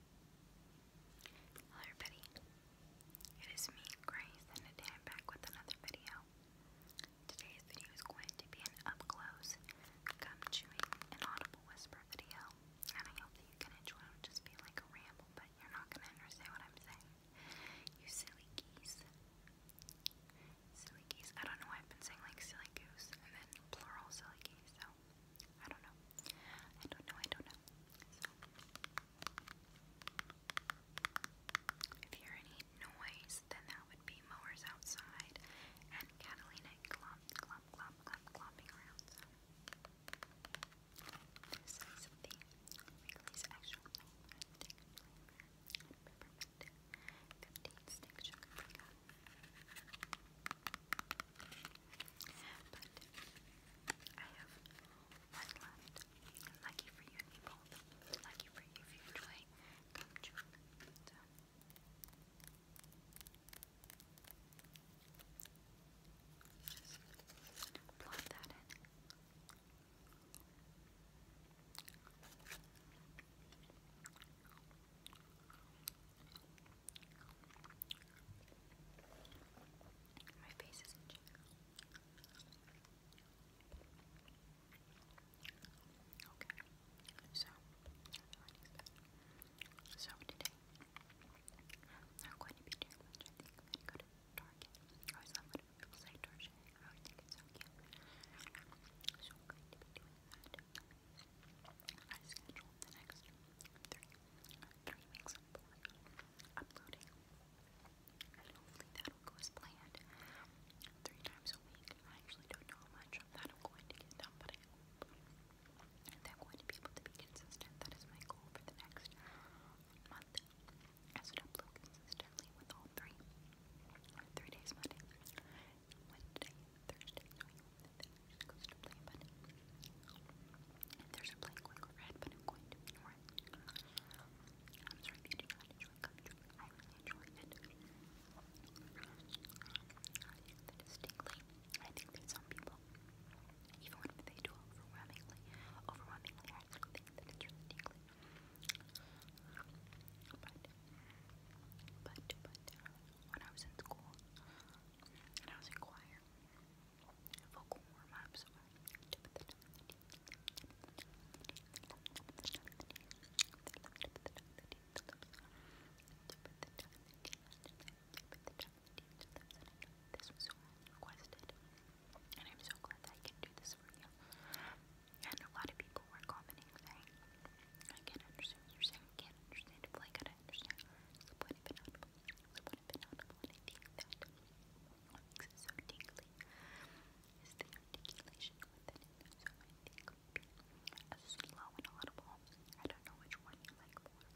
Hello everybody, it is me, Grace, and today I'm back with another video. Today's video is going to be an up-close, gum-chewing, and audible whisper video, and I hope that you can enjoy it. It'll just be like a ramble, but you're not going to understand what I'm saying. You silly geese. Silly geese. I don't know why I've been saying like silly goose, and then plural silly geese, so I don't know. I don't know, I don't know. if you hear any noise, then that would be mowers outside and Catalina clomp, clomp, clomp, clomp, clomping around. this is the Wrigley's Extra Low but I have one left. And lucky for you, they both. Lucky for you if you enjoy gum chewing. So. Just plug that in. My face is itching. Okay, so so today I'm going to be doing lunch. I think I'm going to go to Target. I always love think it's so So I'm going to be doing that. I scheduled the next three, three weeks of uploading, hopefully that'll go as planned. Three times a week. I actually don't know how much of that I'm going to get done, but I hope I'm going to be able to be consistent. That is my goal for the next month. I should upload consistently with all three. Three days Monday, Wednesday, Thursday, so you just goes to play a button. And there's a blank quick red, but I'm going to I'm sorry if you enjoy cup I really enjoy it. I think that distinctly. I think that some people, even when they do overwhelmingly, overwhelmingly, I actually think that it's really distinctly. But, but, but, when I was in school, and I was in choir, vocal warm This was so requested, and I'm so glad I can do this for you. And a lot of people were commenting I can't understand what you're saying, I can't understand I don't understand. It's the point of an audible, it's the point of an audible, I think that what makes it so tingly is the articulation within it. So I think a slow and audible, I don't know which one you like more.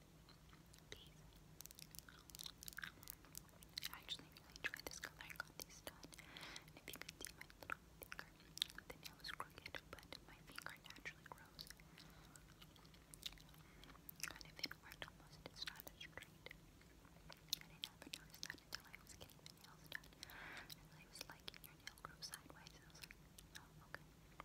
These. I actually really enjoyed this color. I got these done. if you can see my little finger, the nail is crooked, but my finger naturally grows. And if it almost, it's not as straight. I didn't notice that until I was getting my nails done. I was like, your nail grows sideways. Oh, okay.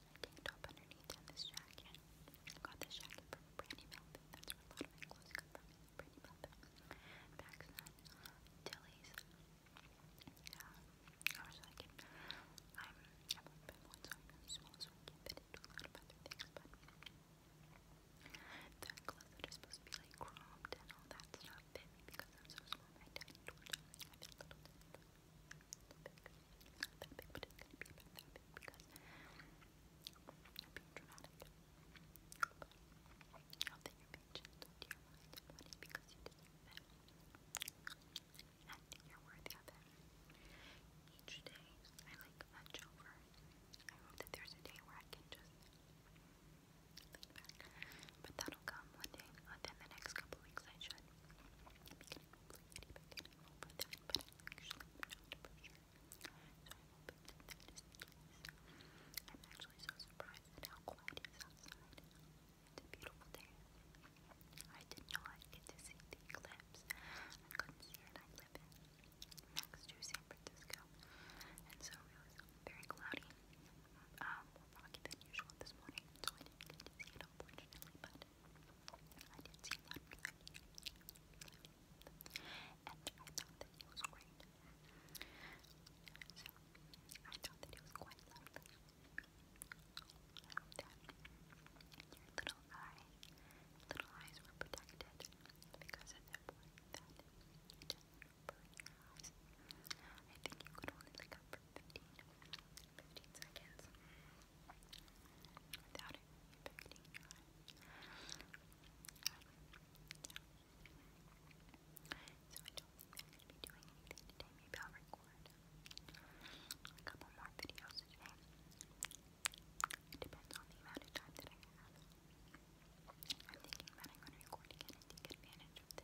my tank top underneath and this jacket. got this jacket from Brandy Melvin. That's a lot of my clothes come from. Brandy Melvin. Paxson. Tilly's. Yeah. I was like, um, i I'm a bit one, so I'm really small, so I can a lot of other things, but the closet supposed to be like cropped and all that stuff fit because I'm so small. I fit tiny torso. Not I'm being dramatic. you're being to your mind because you deserve it. And I think you're worthy of it. Each day I like much over. I hope that there's a day where I can just But that'll come one day, within the next couple weeks I should. I'm actually so surprised at how quiet it is outside. It's a beautiful day. I did not get to see the eclipse. I couldn't see it. I live in next to San Francisco, and so it was very cloudy, um, more foggy than usual this morning. So I didn't I thought that it was great. So I thought that it was quite lovely. little eye, little eyes were protected because of the point hours. I think you could only look up for 15, seconds. Without affecting your eyes. So I don't think I'm going to be doing anything today. Maybe I'll record a couple more videos today. depends on the amount of time that I have. I'm thinking that I'm going to record and take advantage of the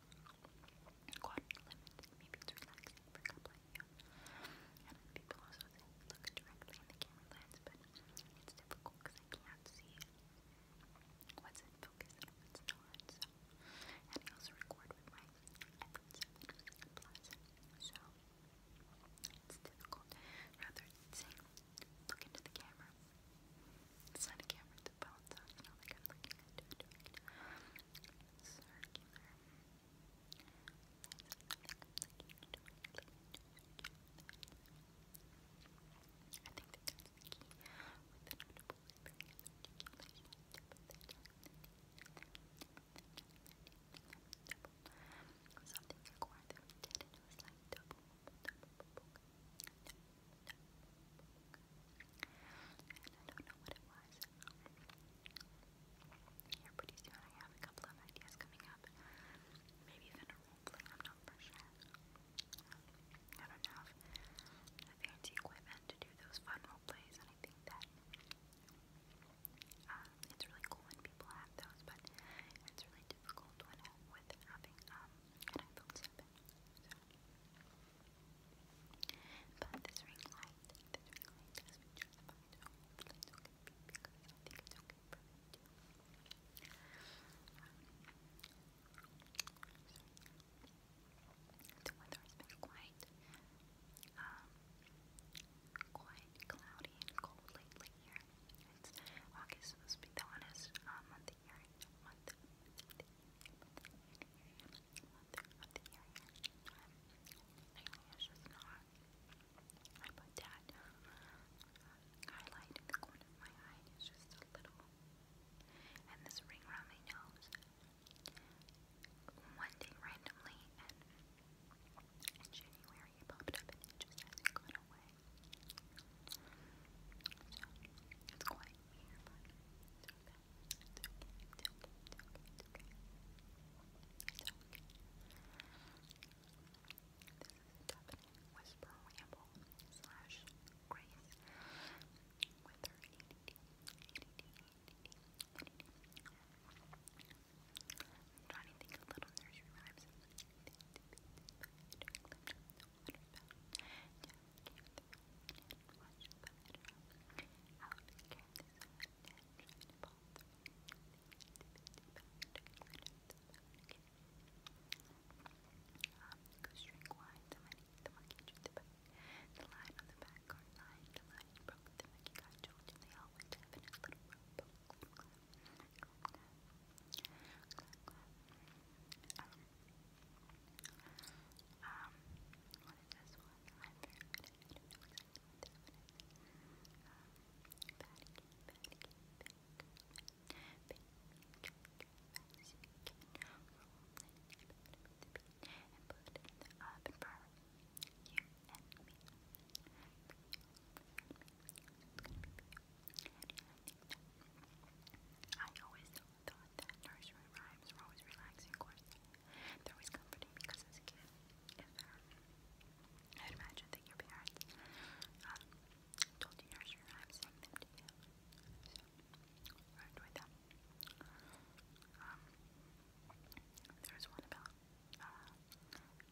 quadrant Maybe it's relaxing for a you. And people also say look directly in the camera but it's difficult because I can see what's in focus and what's not. and I also record with my iPhone so it's difficult. Rather than saying look into the camera, it's not camera to bounce off, not like I'm looking at it I think that that's the double, double, double, double and I don't know what it was. Here, pretty soon I have a couple of ideas coming up. Maybe even a role I'm not sure. I don't know if the fancy equipment to do those fun role and I think that uh, it's really cool when people have those, but it's really difficult when with having um, but this ring light, this ring light has been justified. the weather has been quite, um, quite cloudy and cold lately here. It's August supposed to be the hottest uh, month the year, I put that highlight in the corner of my eye. It's just a little. And this ring around my nose. One day randomly, in January it popped up and just has gone away it's quiet Whisper Ramble slash Grace with her little nursery rhymes. The line on the back car line, the line broke, the monkey got told, and they all went to heaven in little rope. Um, what is this one? I'm very good at it. I don't know exactly what that one is. Um, patty cake, patty cake, patty cake, patty cake, patty cake, roll it in the pan with the bean and put it in the oven for you and me. I always thought that nursery rhymes were always relaxing, of course. They're always comforting because as a kid, I uh, imagine that your parents um, told you nursery rhymes, sang them to you. So, I enjoyed them. Um, there one about uh,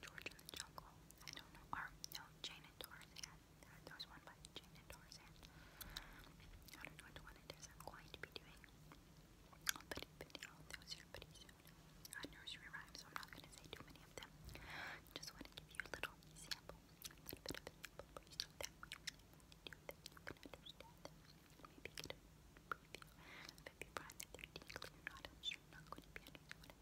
George in the Jungle. I don't know. Or, no, Jane and Tarzan. There, there was one by Jane and Tarzan. I don't know which one it is. I'm going to be doing a video. That was here pretty soon. Uh, nursery rhymes, so I'm not going to say too many of them. Just want to give you a little sample. A little bit of a sample you can Maybe get a preview. But if you are not, sure not going to be understood.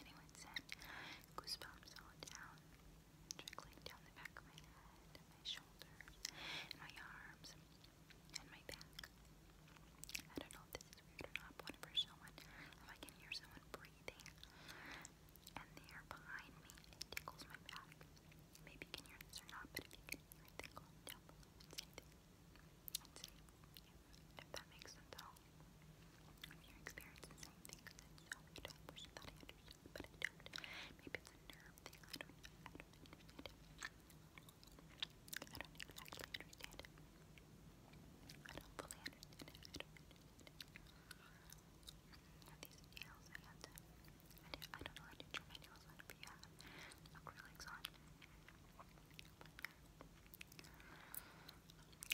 Anyone said goosebumps all down, trickling down the back of my head, my shoulders, my arms, and my back. I don't know if this is weird or not, whenever someone, if I can hear someone breathing, and they are behind me, it tickles my back. Maybe you can hear this not, but if you can hear it, then comment down below and if, that makes sense at all. If you're experiencing the same don't wish that I understood, but I don't. Maybe it's a nerve thing, I don't I don't exactly understand it. I don't fully understand it. I do these nails I had I, do, not know how to trim my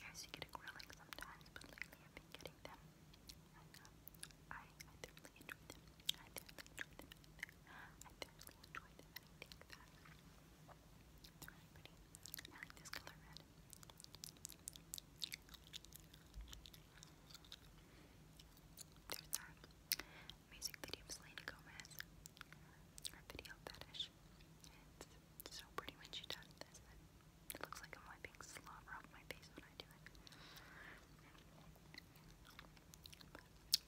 I used to get acrylics sometimes, but lately I've been getting them. I, uh, I thoroughly enjoy them. I thoroughly enjoy them. I thoroughly enjoy them, I think that they I like this color red. There's that. Music video of Selena Gomez. Her video fetish. so pretty when she does this. It looks like I'm wiping slobber off my face when I do it.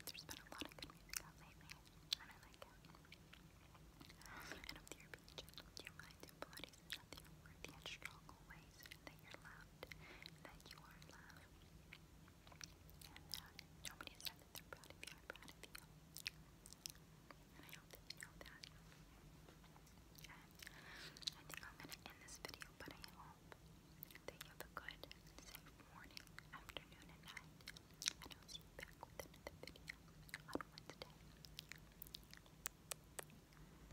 there's been a lot of good music lately, and I like And up to your beach, do you mind doing there are worthy and strong always, and that you're loved, and that you are loved. And uh, nobody said that they're proud of you, I'm proud of you. And I hope that you know that. And I think I'm gonna end this video, but I hope that you have a good, safe morning, afternoon, and night. And I'll see you back with another video on Wednesday.